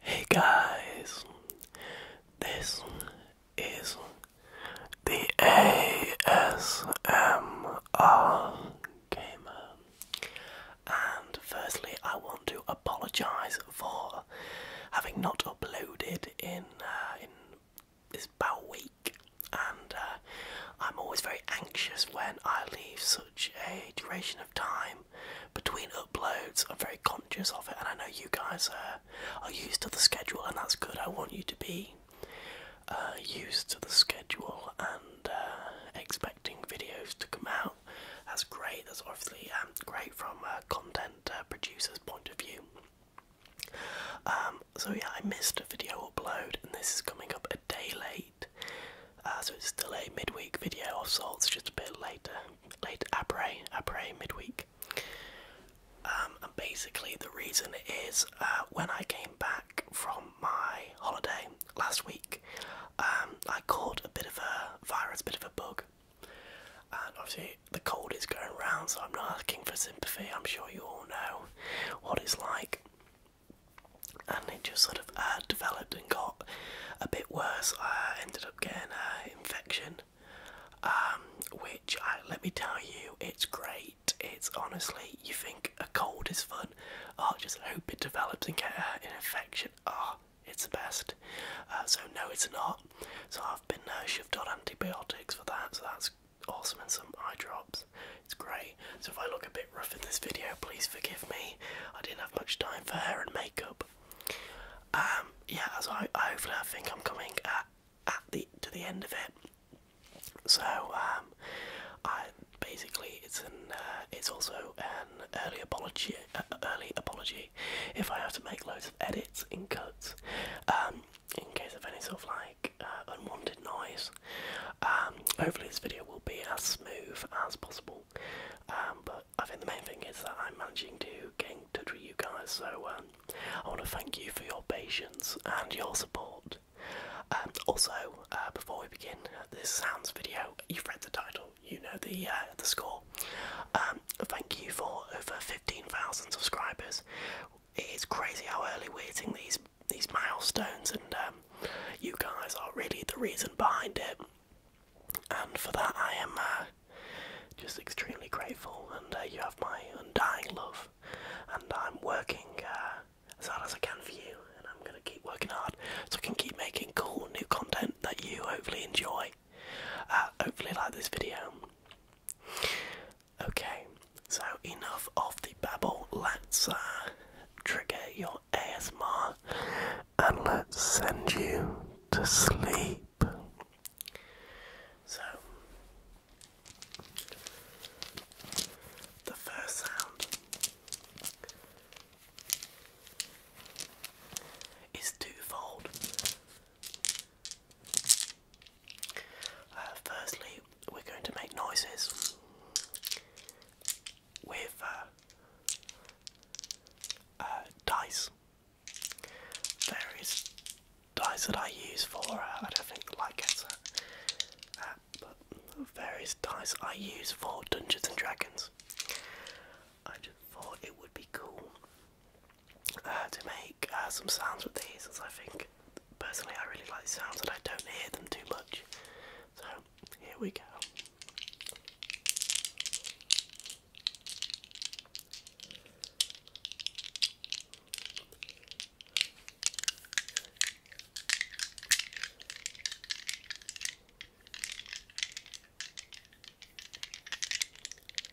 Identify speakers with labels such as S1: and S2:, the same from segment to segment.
S1: Hey guys, this is the ASMR Gamer, and firstly, I want to apologise for having not uploaded in uh, in is about a week, and uh, I'm always very anxious when I leave such a duration of time between uploads. I'm very conscious of it, and I know you guys are used to the schedule, and that's good. I want you to be uh, used to the schedule and uh, expecting videos to come out. That's great. That's obviously um, great from a content producer's point of view. Um, so yeah, I missed a video upload, and this is coming up a day late. Uh, so it's still a midweek video of sorts, just a bit later, late après, après midweek. Um, and basically the reason is uh, when I came back from my holiday last week, um, I caught a bit of a virus, a bit of a bug, and obviously the cold is going round, so I'm not asking for sympathy. I'm sure you all know what it's like. And it just sort of uh, developed and got a bit worse. I ended up getting an infection, um, which I, let me tell you, it's great. It's honestly, you think a cold is fun. Oh, just hope it develops and get an infection. Oh, it's the best. Uh, so no, it's not. So I've been uh, shoved on antibiotics for that. So that's awesome and some eye drops. It's great. So if I look a bit rough in this video, please forgive me. I didn't have much time for hair and makeup. Um, yeah, so I, I hopefully I think I'm coming at, at the to the end of it. So um, I basically it's an uh, it's also an early apology, uh, early apology. If I have to make loads of edits and cuts, um, in case of any sort of like uh, unwanted noise. Um, hopefully this video will be as smooth as possible. Um, but I think the main thing is that I'm managing to get in touch with you guys, so um, I want to thank you for your patience and your support. also, uh, before we begin this sounds video, you've read the title, you know the uh, the score. thank you for over 15,000 subscribers it is crazy how early we're hitting these these milestones, and um, you guys are really the reason behind it. And for that, I am uh, just extremely grateful. And uh, you have my undying love. And I'm working uh, as hard as I can for you, and I'm gonna keep working hard so I can keep making cool new content that you hopefully enjoy. hopefully, like this video. Okay, so enough of the babble. Let's uh, trigger your ASMR and let's send you to sleep. So, the first sound is twofold. Uh, firstly, we're going to make noises with uh, uh, dice. Various dice that I use for, I don't think the light gets but various dice I use for Dungeons and Dragons. I just thought it would be cool uh, to make uh, some sounds with these, as I think personally I really like sounds and I don't hear them too much. So here we go.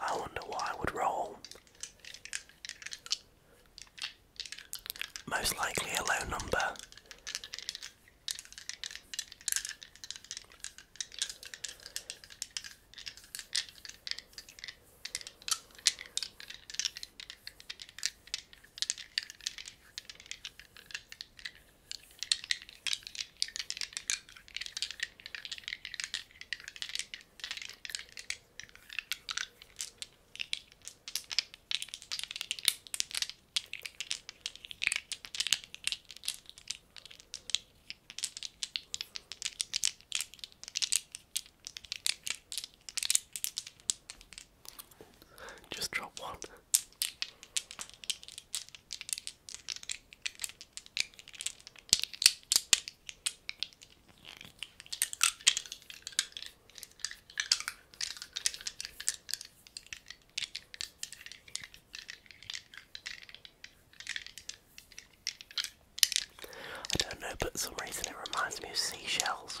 S1: I wonder why I would roll. Most likely a low number. Just drop one. I don't know, but for some reason it reminds me of seashells.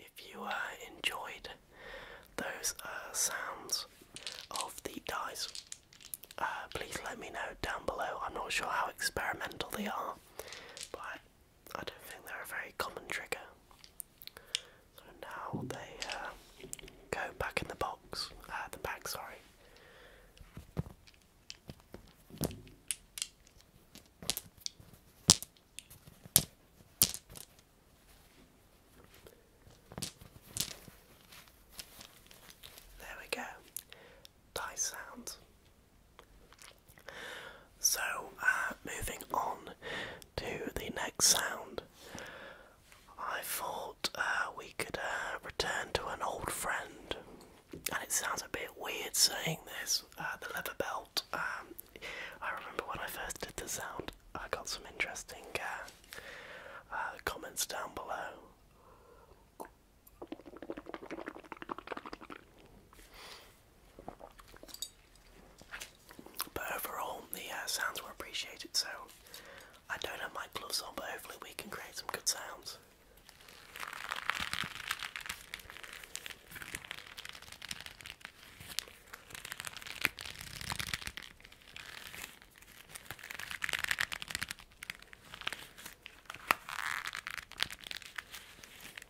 S1: If you uh, enjoyed those uh, sounds of the dice, uh, please let me know down below. I'm not sure how experimental they are, but I don't think they're a very common trigger. So now they uh, go back in the box, uh, the bag, sorry. There we go. Dice sounds. So, uh, moving on to the next sound, I thought uh, we could uh, return to an old friend. And it sounds a bit weird saying this, the leather belt. Um, I remember when I first did the sound, I got some interesting comments down below. But overall, the uh, sounds were appreciated, so I don't have my gloves on, but hopefully, we can create some good sounds.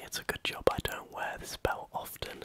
S1: It's a good job I don't wear this belt often.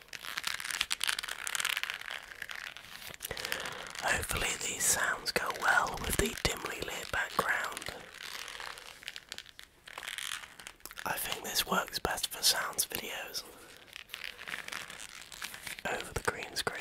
S1: Hopefully these sounds go well with the dimly lit background. I think this works best for sounds videos over the green screen.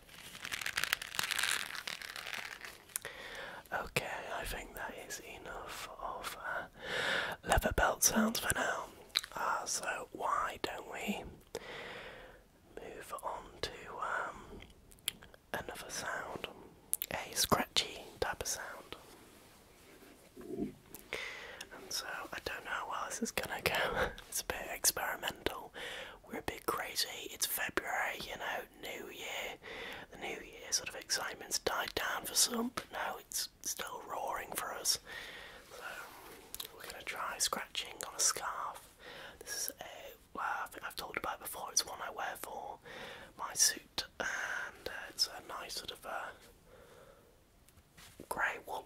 S1: Okay, I think that is enough of uh, leather belt sounds for now. Uh, so, why don't we move on to um, another sound? A scratchy type of sound. And so, I don't know how well this is gonna go, it's a bit experimental, we're a bit crazy. It's February, you know, New Year. The New Year sort of excitement's died down for some, but now it's still roaring for us. So we're gonna try scratching on a scarf. This is a well, I have talked about before. It's one I wear for my suit, and uh, it's a nice sort of uh, grey wool.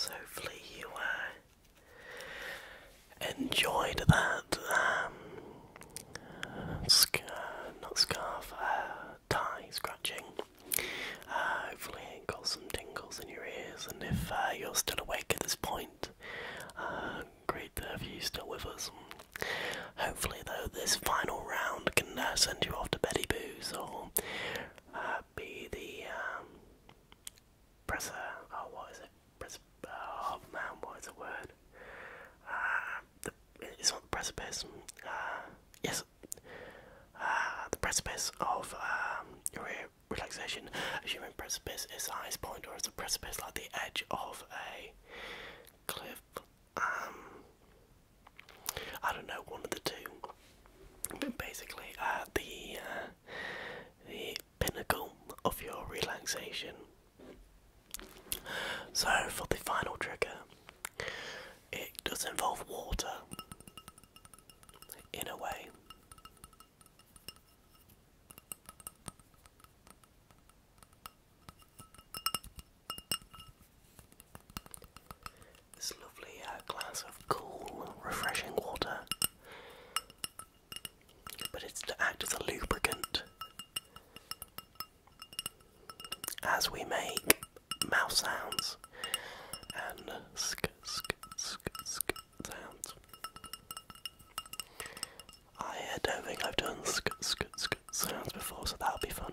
S1: So hopefully you uh, enjoyed that um, sc not scarf uh, tie scratching. Uh, hopefully, it got some tingles in your ears, and if uh, you're still awake at this point, uh, great to have you still with us. Hopefully, though, this final round can send you off to Betty Boo's or be the um, presser. Oh, what is it? oh man, what is the word? Uh, the, it's not the precipice. Uh, yes, uh, the precipice of um, re relaxation. A human precipice is the highest point, or is a precipice like the edge of a cliff? Um, I don't know, one of the two. But basically, uh, the uh, the pinnacle of your relaxation. So, for the final trigger, it does involve water in a way. This lovely uh, glass of cool, refreshing water but it's to act as a lubricant as we make mouth sounds and sk sk sk sk sounds. I don't think I've done sk sk sk sounds before, so that'll be fun.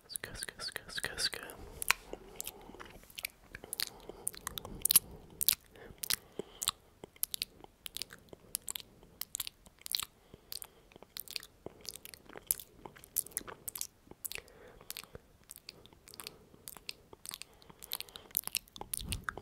S1: Ska, ska, ska, ska, ska. Good,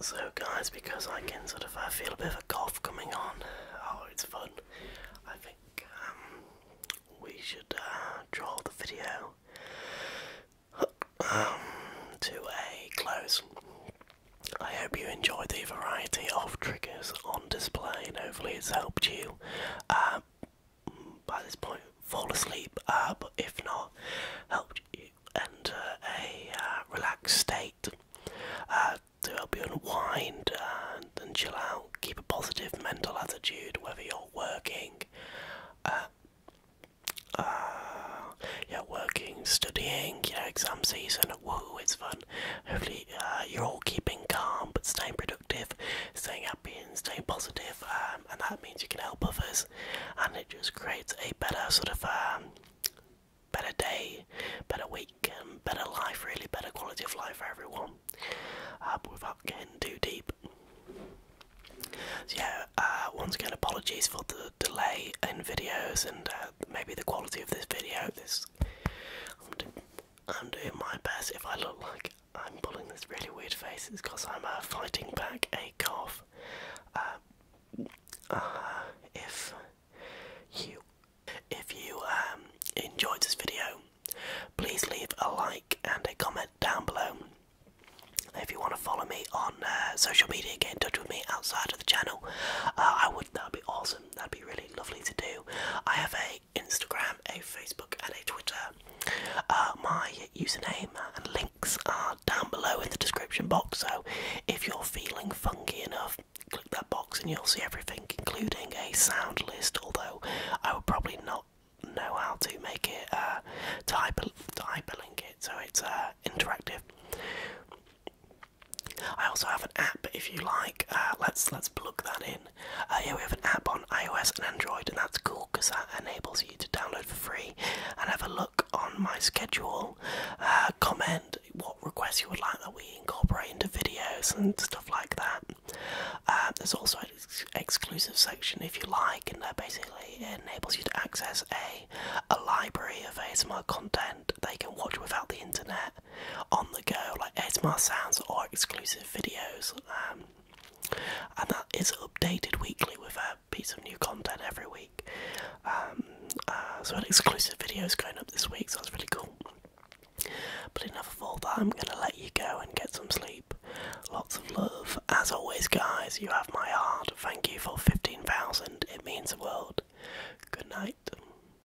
S1: So guys, because I can sort of I feel a bit of a cough coming on, oh it's fun. I think um, we should uh, draw the video um, to a close. I hope you enjoyed the variety of triggers on display and hopefully it's helped you uh, by this point fall asleep, uh, but if not, help you enter uh, a uh, relaxed state to help you unwind and, and chill out. Keep a positive mental attitude whether you're working. Uh, yeah, working, studying, you exam season, woo, it's fun, Hopefully, uh, you're all keeping calm but staying productive, staying happy, and staying positive, um, and that means you can help others, and it just creates a better sort of a um, better day, better week, and better life, really, better quality of life for everyone. Uh, but without getting too deep. So yeah, uh, once again, apologies for the delay in videos and uh, maybe the quality of this video. This I'm, doing my best. If I look like I'm pulling this really weird face, it's because I'm uh, fighting back a cough. Um, uh, if you if you um, enjoyed this video, please leave a like and a comment down below. If you want to follow me on uh, social media, get in touch with me outside of the channel. Uh, I would that would be awesome that'd be really lovely to do. I have a Instagram, a Facebook, and a Twitter. Uh, my username and links are down below in the description box. So if you're feeling funky enough, click that box and you'll see everything, including a sound list. Although I would probably not know how to make it uh, to hyperlink it so it's uh, interactive. I also have an app if you like. Uh, let's let's plug that in. Uh, yeah, we have an app on iOS and Android, and that's cool because that enables you to download for free and have a look on my schedule. Uh, comment what requests you would like that we incorporate into videos and stuff like that. there's also an exclusive section if you like, and that basically enables you to access a a library of ASMR content they can watch without the internet on the go, like ASMR sounds or exclusive videos. Um, and that is updated weekly with a piece of new content every week. Um, uh, so, an exclusive video is going up this week, so that's really cool. But enough of all that, I'm going to let you go and get some sleep. Lots of love. As always, guys, you have my heart. Thank you for 15,000. It means the world. Good night.